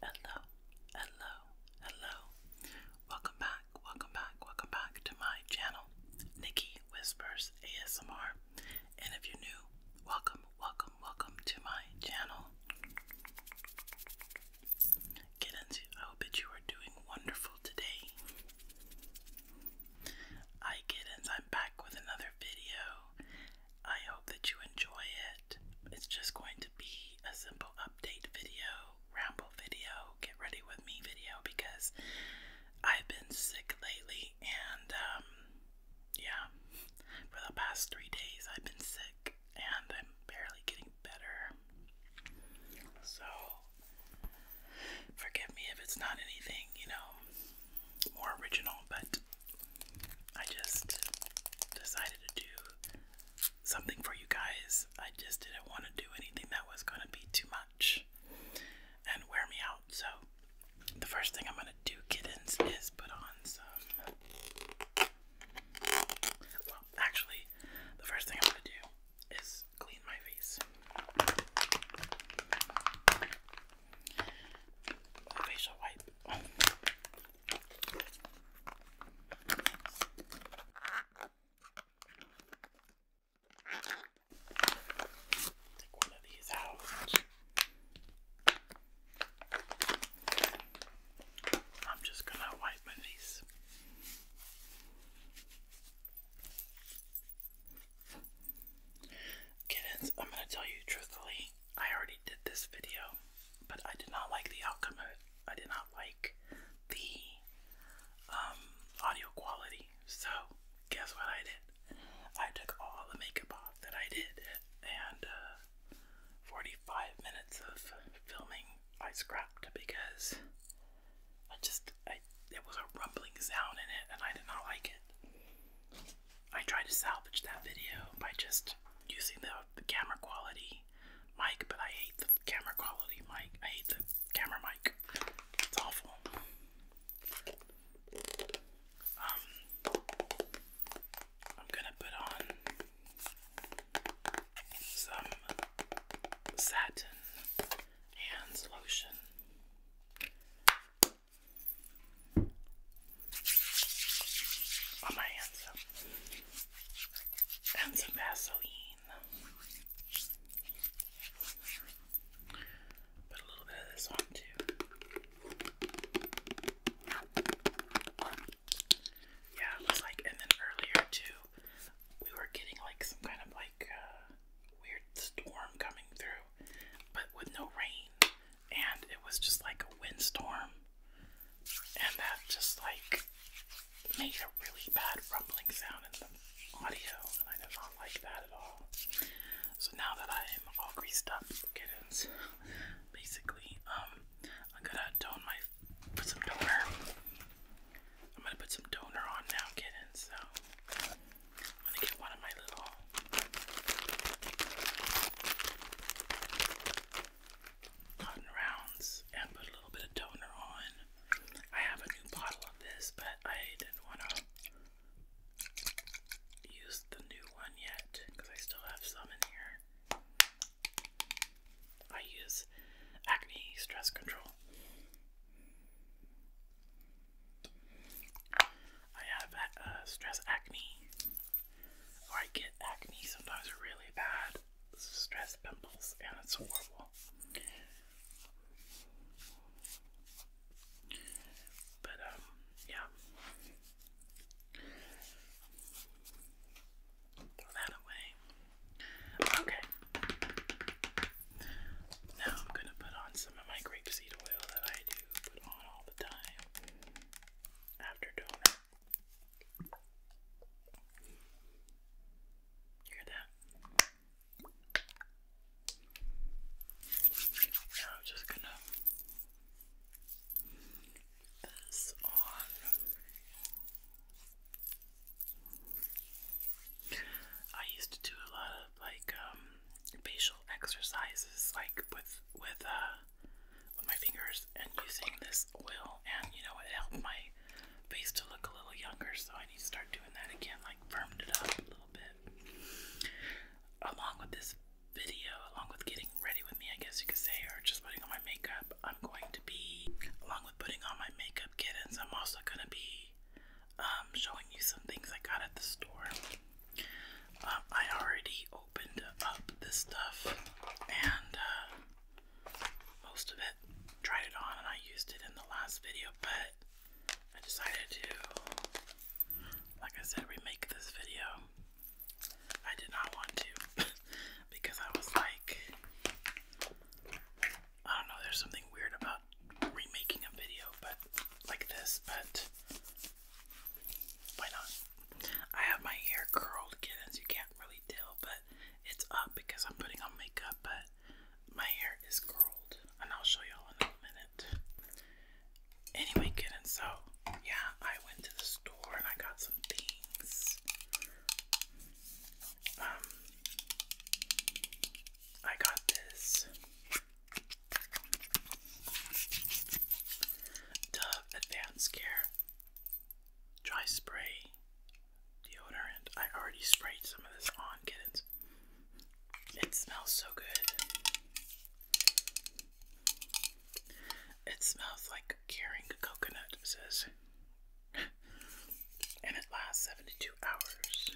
Hello, hello, hello. Welcome back, welcome back, welcome back to my channel, Nikki Whispers ASMR. And if you're new, welcome, welcome, welcome to my channel. Kittens, I hope that you are doing wonderful today. Hi kittens, I'm back with another video. I hope that you enjoy it. It's just going to be a simple update video, ramble video, get ready with me video because I've been sick lately and um, yeah, for the past three days I've been sick and I'm barely getting better. So, forgive me if it's not anything, you know, more original, but I just decided to do something for you guys. I just didn't want to do anything that was going to be too much and wear me out. So, the first thing I'm going to do, kittens, is put on some actually, the first thing I'm going to do is clean my face. facial wipe. Take one of these out. I'm just going to wipe my face. Kittens, I'm going to tell you truthfully, I already did this video, but I did not like the outcome of it. I did not like the um, audio quality. So, guess what I did? I took all the makeup off that I did and uh, 45 minutes of filming I scrapped because I just, I, it was a rumbling sound in it and I did not like it. I tried to salvage that video by just using the, the camera quality mic, but I hate the camera quality mic. I hate the camera mic. It's awful. Um, I'm gonna put on some satin hands lotion. On my hands, and some Vaseline. Put a little bit of this on too. Yeah, it was like, and then earlier too, we were getting like some kind of like uh, weird storm coming through, but with no rain, and it was just like a windstorm, and that just like made a really bad rumbling sound in the audio, and I did not like that at all. So now that I am all greased up, kittens, basically, um, I'm gonna tone my put some donor. I'm gonna put some donor on now, kittens. So I'm gonna get one of my little cotton rounds and put a little bit of donor on. I have a new bottle of this, but I didn't want to use the new one yet because I still have some in here. I use acne stress control. I have stress acne, or I get acne sometimes really bad stress pimples, and it's horrible. But, um, yeah. Throw that away. Okay. Now I'm going to put on some of my grapeseed oil that I do put on all the time after donut. Hear that? Now I'm just going to this on. I used to do a lot of like um, facial exercises like with with uh with my fingers and using this oil and you know it helped my face to look a little younger so I need to start doing that again like firmed it up a little bit. Along with this video, along with getting ready with me I guess you could say or just putting on my makeup, I'm going to be, along with putting on my makeup kittens, I'm also going to be um, showing you some things I got at the store. Um, I already opened up this stuff and uh, most of it, tried it on, and I used it in the last video, but I decided to, like I said, remake this video. I did not want to. because I was like, I don't know, there's something weird about remaking a video, but like this, but why not? I have my hair curled again, you can't really tell, but it's up because I'm putting on makeup, but my hair is curled, and I'll show y'all in a minute. Anyway, kittens, so yeah, I went to the store and I got some things. Um, I got this Dove Advanced Care Dry Spray Deodorant. I already sprayed some of this on kittens. It smells so good. It smells like caring coconut, says and it lasts 72 hours.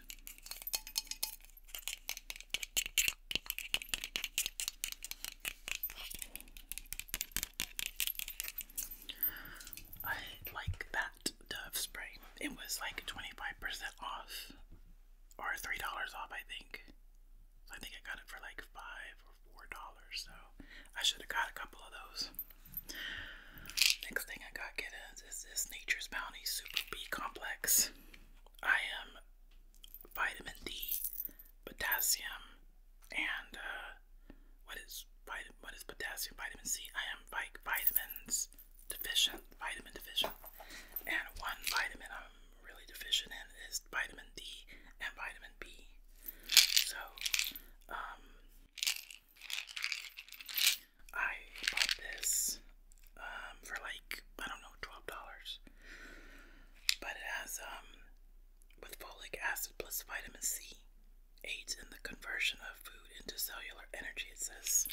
I like that Dove spray. It was like 25% off or $3 off, I think. I think I got it for like 5 four dollars, so I should have got a couple of those. Next thing I got get is, is this Nature's Bounty Super B Complex. I am vitamin D, potassium, and uh, what is vitamin? What is potassium? Vitamin C. I am like vitamins deficient, vitamin deficient, and one vitamin I'm really deficient in is vitamin D and vitamin B. So um, I bought this um, for like I don't know twelve dollars, but it has um, with folic acid plus vitamin C aids in the conversion of food into cellular energy. It says.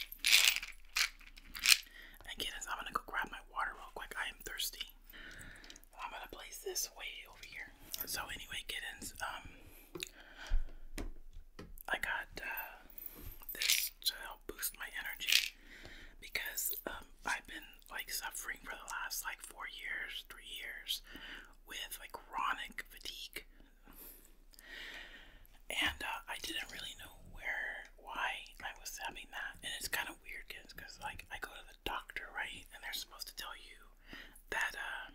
Again, I'm gonna go grab my water real quick. I am thirsty. I'm gonna place this way over here. So anyway, kittens, um, I got uh, this to help boost my energy because um, I've been like suffering for the last like four years, three years, with like chronic fatigue, and uh, I didn't really know where, why I was having that, and it's kind of weird, kids, because like I go to the doctor, right? And they're supposed to tell you that uh,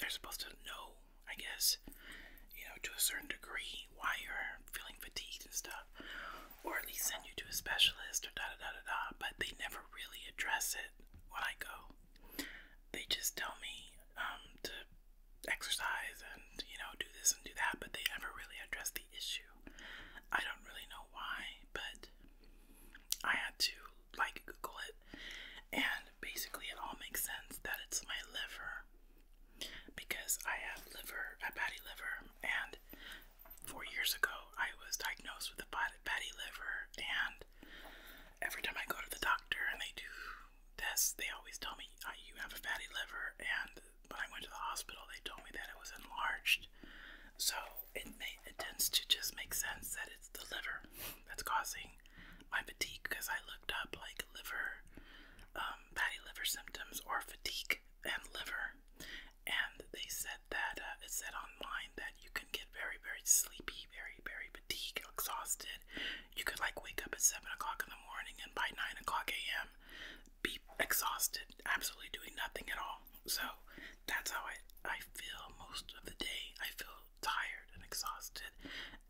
they're supposed to know, I guess, you know, to a certain degree why you're feeling fatigued and stuff, or at least send you to a specialist or da da da da da. But they never really address it when I go. They just tell me um, to exercise and you know do this and do that, but they never really address the issue. I don't really know why, but I had to like Google it, and basically it all makes sense that it's my liver because I have liver, a fatty liver, and four years ago I was diagnosed with a fatty liver, and every time I go to the doctor and they do tests, they always tell me oh, you have a fatty liver, and when I went to the hospital they told me that it was enlarged, so it, may, it tends to just make sense that it's the liver that's causing my fatigue because I looked up like liver, um, fatty liver symptoms or fatigue and liver, and they said that uh, it said online that you can get very, very sleepy, very, very fatigued, exhausted. You could like wake up at seven o'clock in the morning and by nine o'clock a.m. be exhausted, absolutely doing nothing at all so that's how I I feel most of the day. I feel tired and exhausted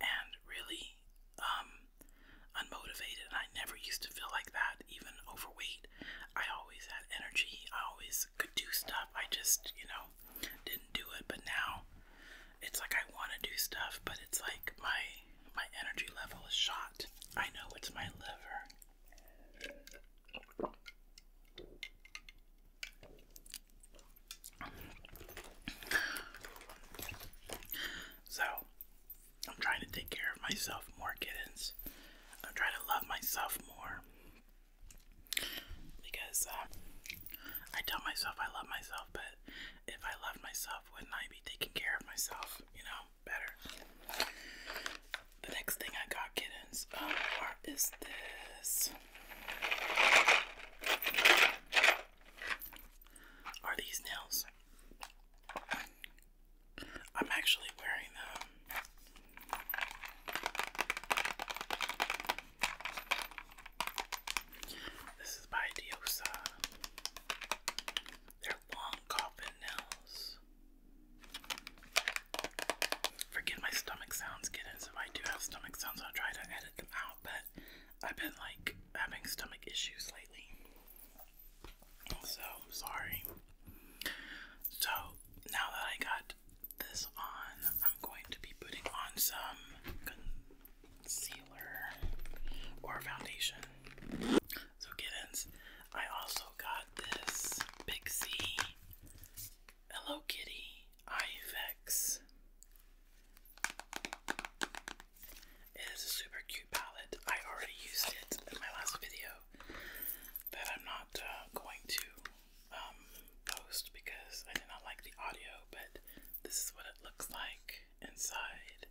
and really um unmotivated. And I never used to feel like that, even overweight. I always had energy. I always could do stuff. I just, you know, didn't do it. But now it's like I want to do stuff, but it's like my my energy level is shot. I know it's my liver. So, I'm trying to take care of myself more, kittens. I'm trying to love myself more. Because uh, I tell myself I love myself, but if I love myself, wouldn't I be taking care of myself, you know, better? The next thing I got, kittens, um, uh, is this are these nails? I'm actually wearing them. This is by Diosa. They're long coffin nails. Forget my stomach sounds, kittens. If I do have stomach sounds, I'll try to edit them out, but I've been like having stomach issues lately. So sorry. So now that I got this on, I'm going to be putting on some concealer or foundation. So, kittens, I also got this Big C Hello Kitty IFX. It is a super cute palette. I already used it in my last video that I'm not uh, going to um, post because I did not like the audio, but this is what it looks like inside.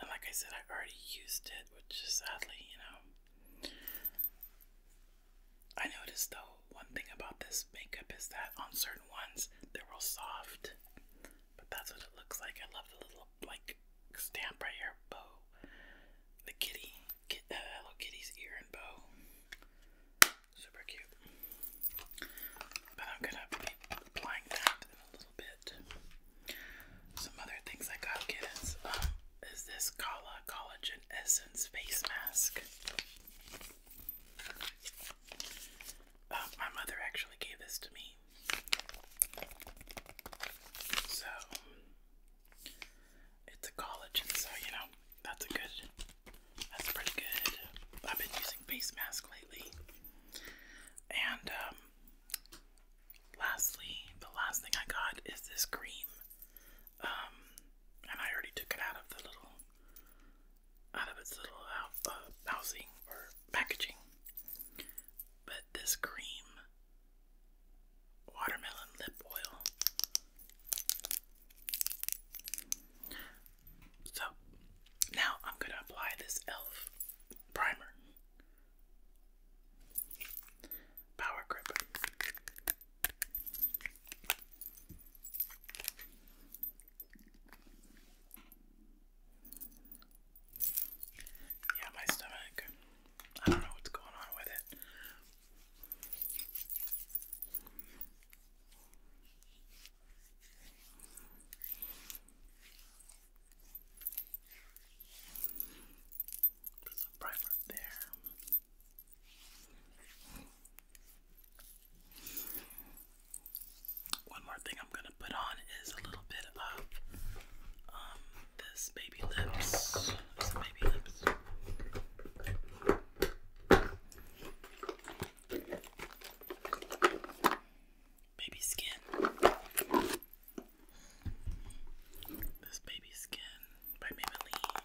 And like I said, I already used it, which is sadly, you know, I noticed though, one thing about this makeup is that on certain ones, they're real soft. But that's what it looks like. I love the little, like, stamp right here, bow. The kitty, Hello uh, Kitty's ear and bow. Super cute. But I'm gonna be applying that in a little bit. Some other things I got, is um, is this Kala Collagen Essence Face Mask. Uh, my mother actually gave this to me. So, it's a collagen, so you know, that's a good, that's pretty good. I've been using face mask lately. And, um, lastly, the last thing I got is this cream. Um, and I already took it out of the little, out of its little uh, housing or packaging. But this cream watermelon lip oil. So now I'm going to apply this e.l.f. primer. Power grip. Yeah, my stomach. I don't know what's going on with it. some primer there. One more thing I'm gonna put on is a little bit of um, this baby lips. baby lips. Baby skin. This baby skin by Maybelline.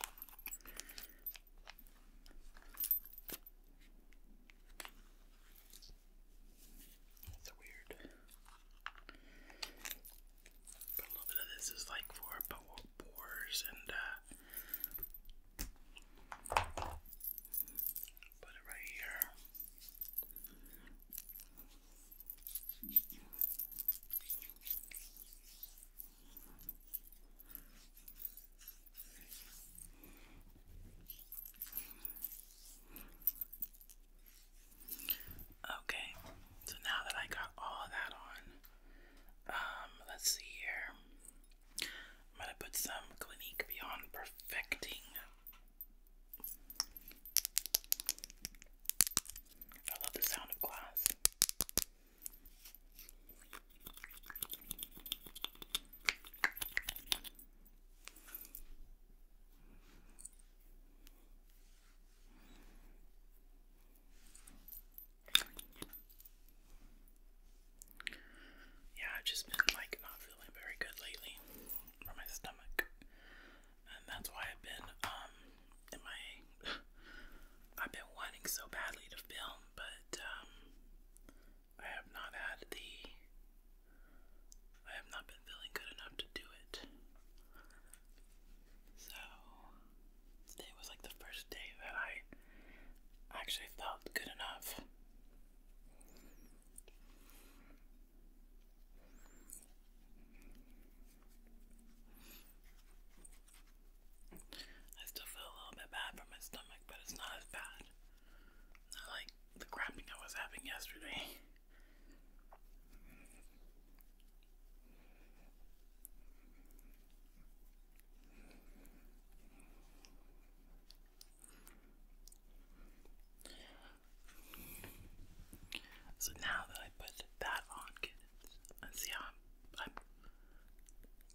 That's weird. a little bit of this is like for pores and uh, put it right here. Okay, so now that I got all that on, um, let's see here. I'm gonna put some Clinique Beyond Perfecting. I love the sound of glass. Yeah, I've just been like not feeling very good lately for my stomach, and that's why I've been um in my I've been wanting so badly to film, but um, I have not had the I have not been feeling good enough to do it. So today was like the first day that I actually felt good enough. I still feel a little bit bad for my stomach, but it's not as bad. Not like the cramping I was having yesterday. So now that I put that on, kids, and see how I'm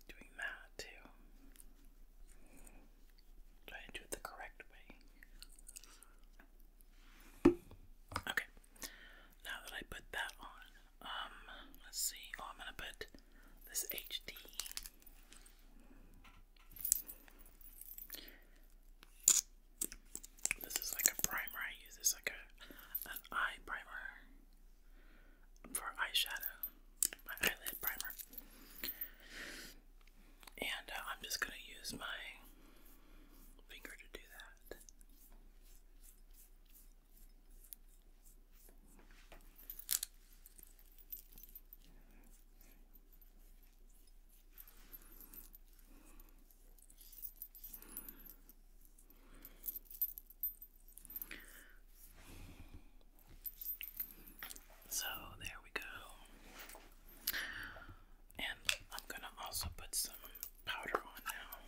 doing that too. Try to do it the correct way. Okay. Now that I put that on, um, let's see. Oh, I'm gonna put this HD. This is like a primer. I use this like a an eye primer for eyeshadow, my eyelid primer. And uh, I'm just going to use my finger to do that. So there we go. And I'm gonna also put some powder on now.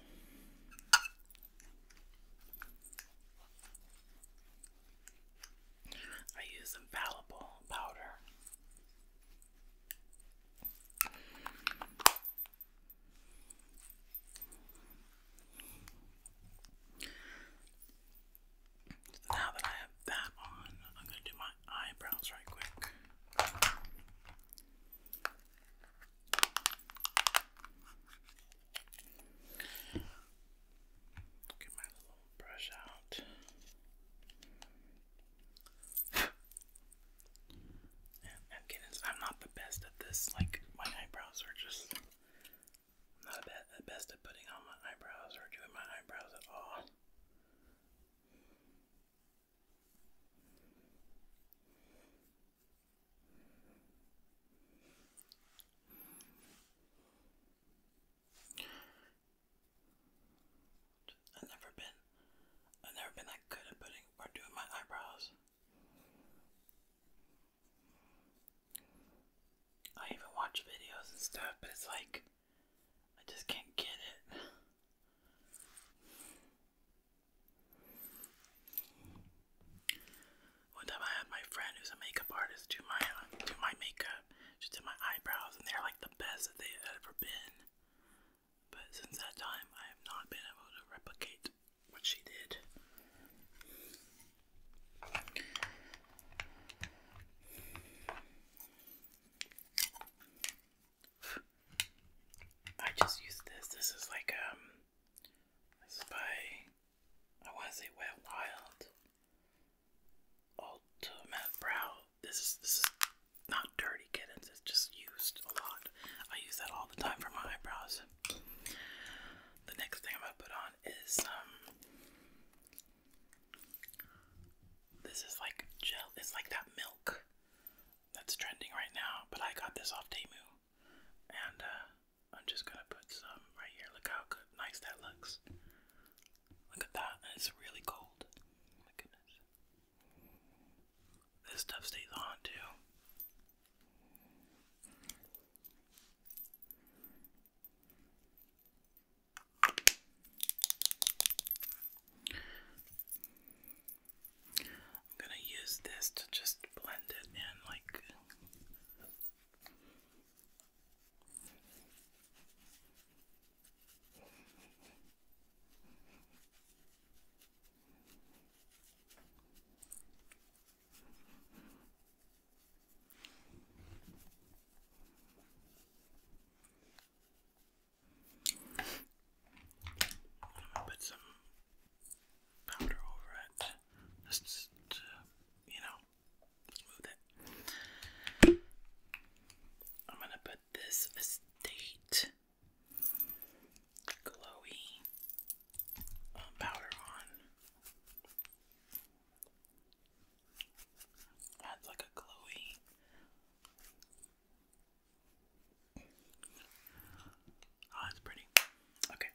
I use infallible powder now that I have that on, I'm going to do my eyebrows right quick. Get my little brush out. I'm not the best at this. Like my eyebrows are just I'm not bad, the best at putting on my eyebrows or doing my eyebrows at all. I've never been, I've never been that good at putting or doing my eyebrows. I even watch videos and stuff, but it's like I just can't get it. One time I had my friend who's a makeup artist do my uh, do my makeup. She did my eyebrows, and they're like the best that they had ever been. But since that time, I have not been able to replicate what she did. I just used this. This is like um this is by I wanna say Wet Wild Ultimate Brow. This is this not dirty kittens, it's just used a lot. I use that all the time for my eyebrows. The next thing I'm gonna put on is um this is like gel it's like that milk that's trending right now, but I got this off Temu. And uh I'm just gonna put some right here. Look how good nice that looks. Look at that, it's really cold. Oh my goodness. This stuff stays on too. I'm going to use this to just blend it in like I'm gonna put some powder over it, just to, you know, smooth it. I'm gonna put this estate glowy uh, on. Adds like a glowy. Oh, that's pretty. Okay.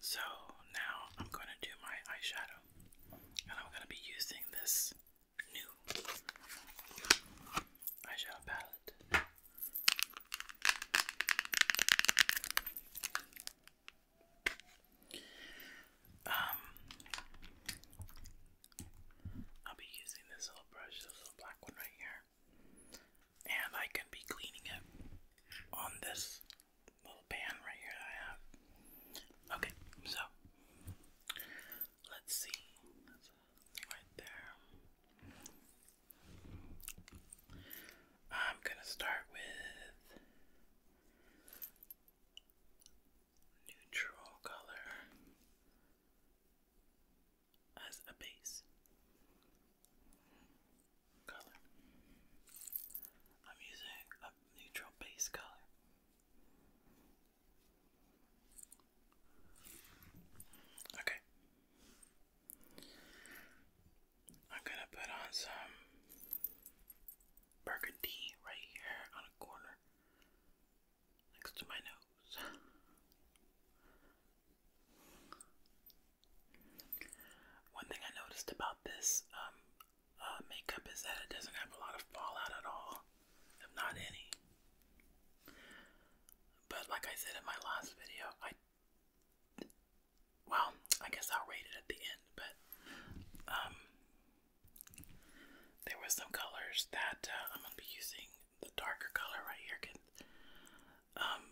So now I'm going to do my eyeshadow. And I'm going to be using this new eyeshadow palette. Um, I'll be using this little brush, this little black one right here, and I can be cleaning it on this little pan right here I have. Okay, so let's see. right there. I'm going to start with neutral color as a base color. I'm using a neutral base color. Okay. I'm gonna put on some burgundy right here on a corner next to my nose. One thing I noticed about this um, uh, makeup is that it doesn't have a lot of fallout at all, if not any. But like I said in my last video, I well, I guess I'll rate it at the end, but um, there were some colors that uh, I'm gonna be using the darker color right here. um,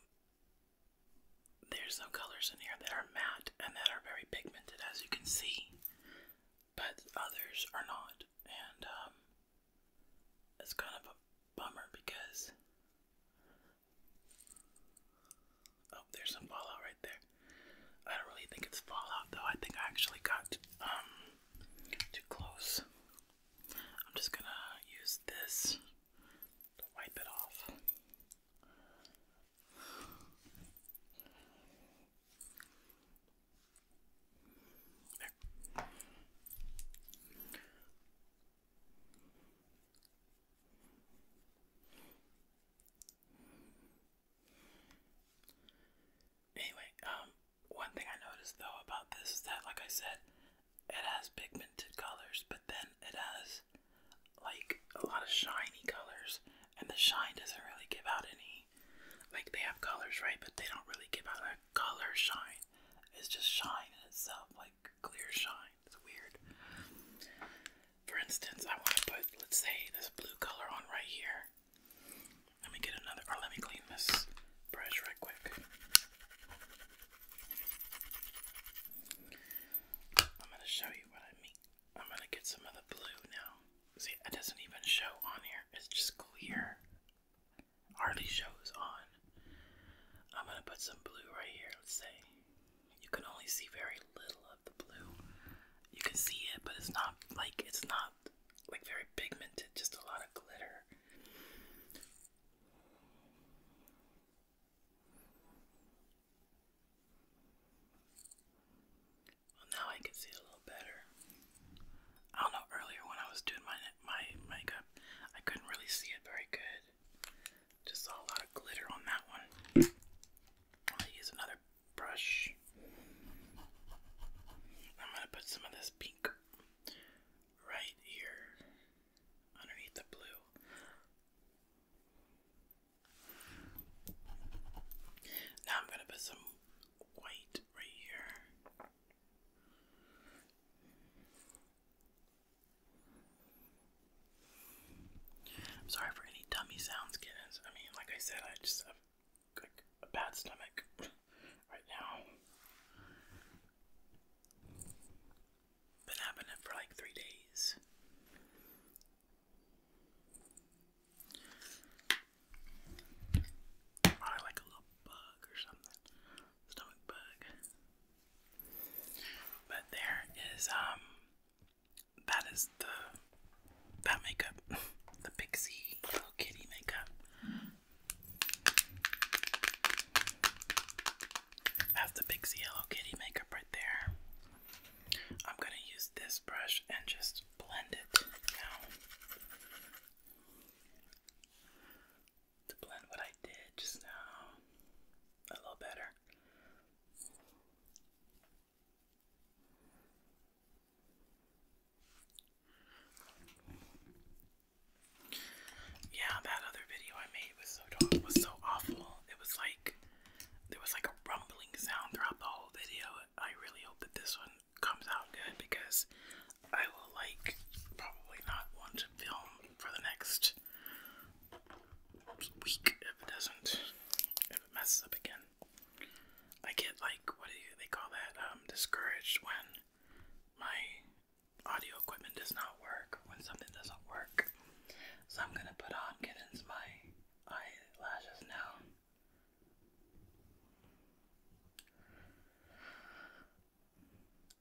there's some colors in here that are matte and that are very pigmented, as you can see, but others are not, and um, it's kind of a bummer because Oh, there's some fallout right there. I don't really think it's fallout though. I think I actually got um, too close. I'm just gonna use this to wipe it off. Anyway, um, one thing I noticed though about this is that, like I said, it has pigmented colors, but then it has like a lot of shiny colors, and the shine doesn't really give out any. Like they have colors, right? But they don't really give out a color shine. It's just shine in itself clear shine. It's weird. For instance, I want to put, let's say, this blue color on right here. Let me get another, or let me clean this brush right quick. I'm going to show you what I mean. I'm going to get some of the blue now. See, it doesn't even show on here, it's just clear hardly shows on. I'm gonna put some blue right here, let's say. You can only see very little of the blue. You can see it, but it's not like it's not like very pigmented, just a lot of glitter. Well, now I can see a little better. I don't know. Earlier, when I was doing my my makeup, I couldn't really see it very good. Just saw a lot of glitter on that one. I'll use another brush. I'm going to put some of this pink right here underneath the blue. Now I'm going to put some white right here. I'm sorry for any tummy sounds, kittens. I mean, like I said, I just have like a bad stomach right now. Been happening for like three days. Probably like a little bug or something stomach bug. But there is um that is the that makeup. the Pixie Little Kitty makeup. That's the Pixie Hello Kitty makeup right there. I'm going to use this brush and just blend it now to blend what I did just now a little better. Yeah, that other video I made was so was so awful. It was like there was like a rumbling sound throughout the whole video. I really hope that this one comes out good because I will like probably not want to film for the next it's if it doesn't, if it messes up again. I get like, what do they call that? Um, discouraged when my audio equipment does not work, when something doesn't work. So I'm gonna put on Kitten's my eyelashes now.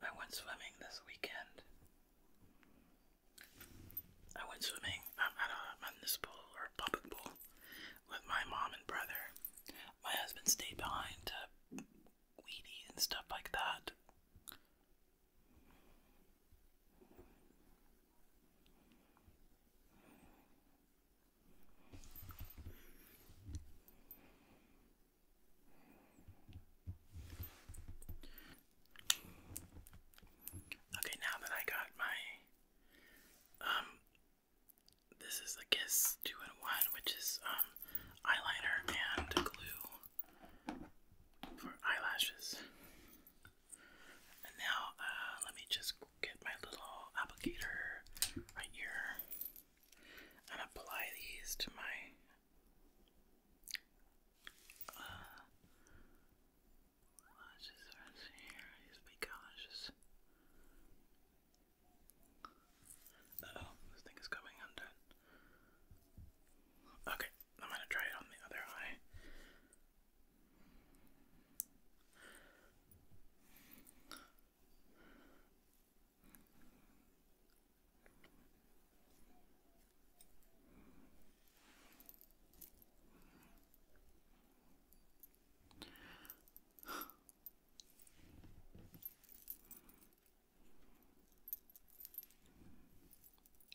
I went swimming this weekend. I went swimming at a municipal or public pool with my mom and brother. My husband stayed behind to weedy and stuff like that. Okay, now that I got my um this is a Kiss 2 in 1, which is um eyeliner and glue for eyelashes. And now uh, let me just get my little applicator right here and apply these to my uh, lashes are here. Just be cautious. oh, this thing is coming undone. Okay, I'm gonna try it on the other eye.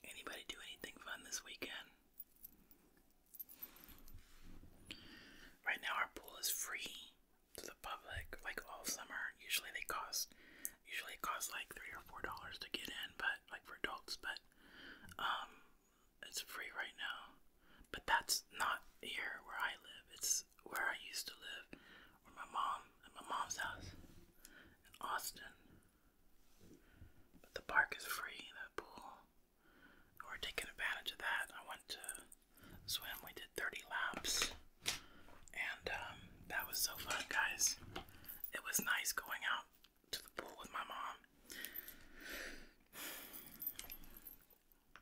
Anybody do anything fun this weekend? Right now, our pool is free to the public, like all summer. Usually, they cost Usually it costs like three or four dollars to get in, but like for adults, but um, it's free right now. But that's not here where I live. It's where I used to live, where my mom at my mom's house in Austin. But the park is free, the pool. We're taking advantage of that. I went to swim. We did 30 laps. And um, that was so fun, guys. It was nice going out to the pool with my mom.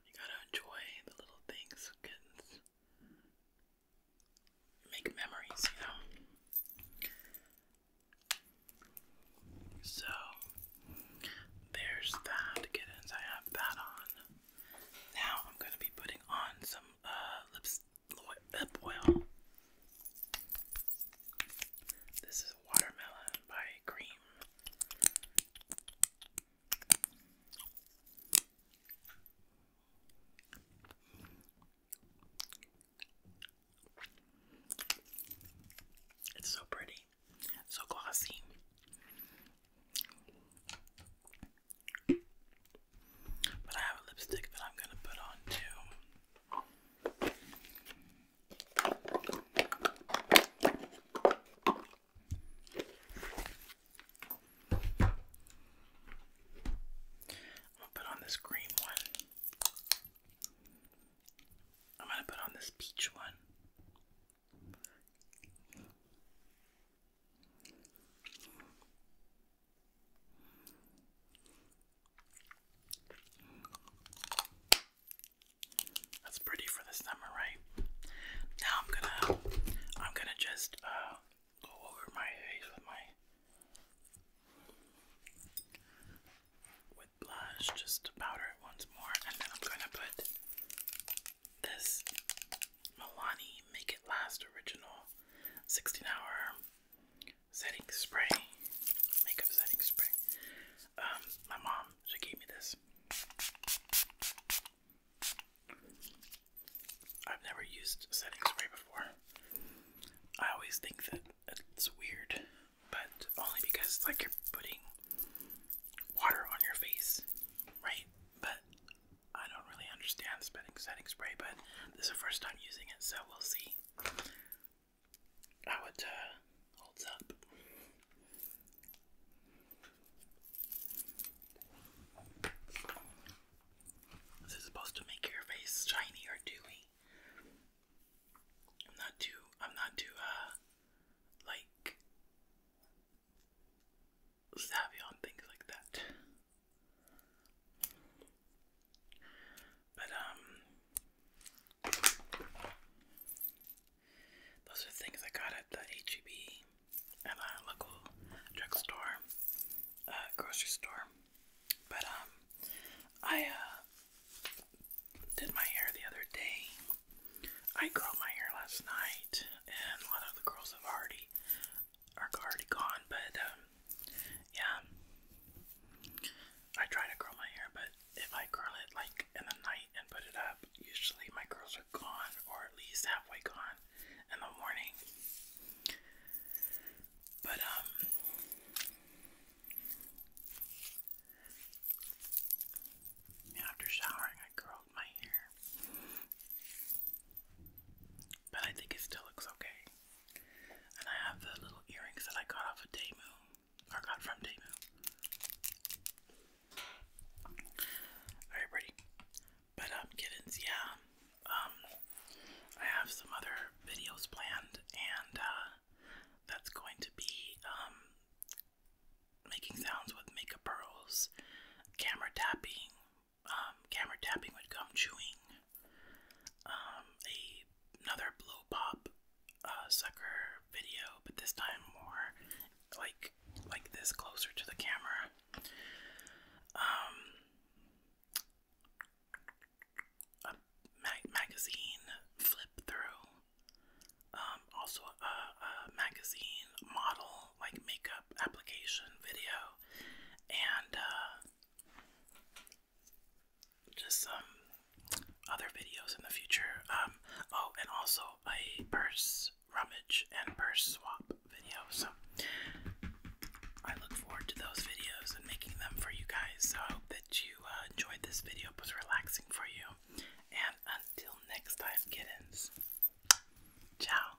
You gotta enjoy the little things, kittens. Make memories, you So there's that, kittens. I have that on. Now I'm gonna be putting on some uh, lips lip oil. This is Watermelon by Cream. It's so pretty, so glossy. But I have a lipstick that I'm gonna put on too. I'm gonna put on this green one. I'm gonna put on this peach one. That's pretty for the summer, right? Now I'm gonna I'm gonna just uh go over my face with my with blush just powder it once more and then I'm gonna put this Milani Make It Last Original 16 Hour Setting Spray, Makeup Setting Spray. Um, my mom, she gave me this. I've never used setting spray before. I always think that it's weird, but only because like you're putting water on your face, right? But I don't really understand the spinning setting spray, but this is the first time using it, so we'll see how it uh, up. This is supposed to make your face shiny or dewy. I'm not too, I'm not too, uh, like, savvy things like that. But, um, those are things I got at the HEB and a local drugstore, uh, grocery store. But, um, I, uh, did my hair the other day. I curled my hair last night, and a lot of the girls have already are already gone, but um, yeah. I try to curl my hair, but if I curl it like in the night and put it up, usually my curls are gone or at least halfway gone in the morning. But, um, after showering, I curled my hair. But I think it still looks okay. And I have the little earrings that I got off of Daemu, or got from Daemu. Very pretty. But um, kittens, yeah. Um, I have some other videos planned, and uh, that's going to be um, making sounds with makeup pearls, camera tapping, um, camera tapping with gum chewing, um, a, another blow pop uh, sucker video, but this time more like like this closer to the camera. Um, a mag magazine flip through. Um, also a, a magazine model like makeup application video and uh, just some other videos in the future. Um, oh, and also a purse rummage and purse swap video. So I look forward to those videos and making them for you guys. So I hope that you uh, enjoyed this video. It was relaxing for you. And until next time, kittens, ciao.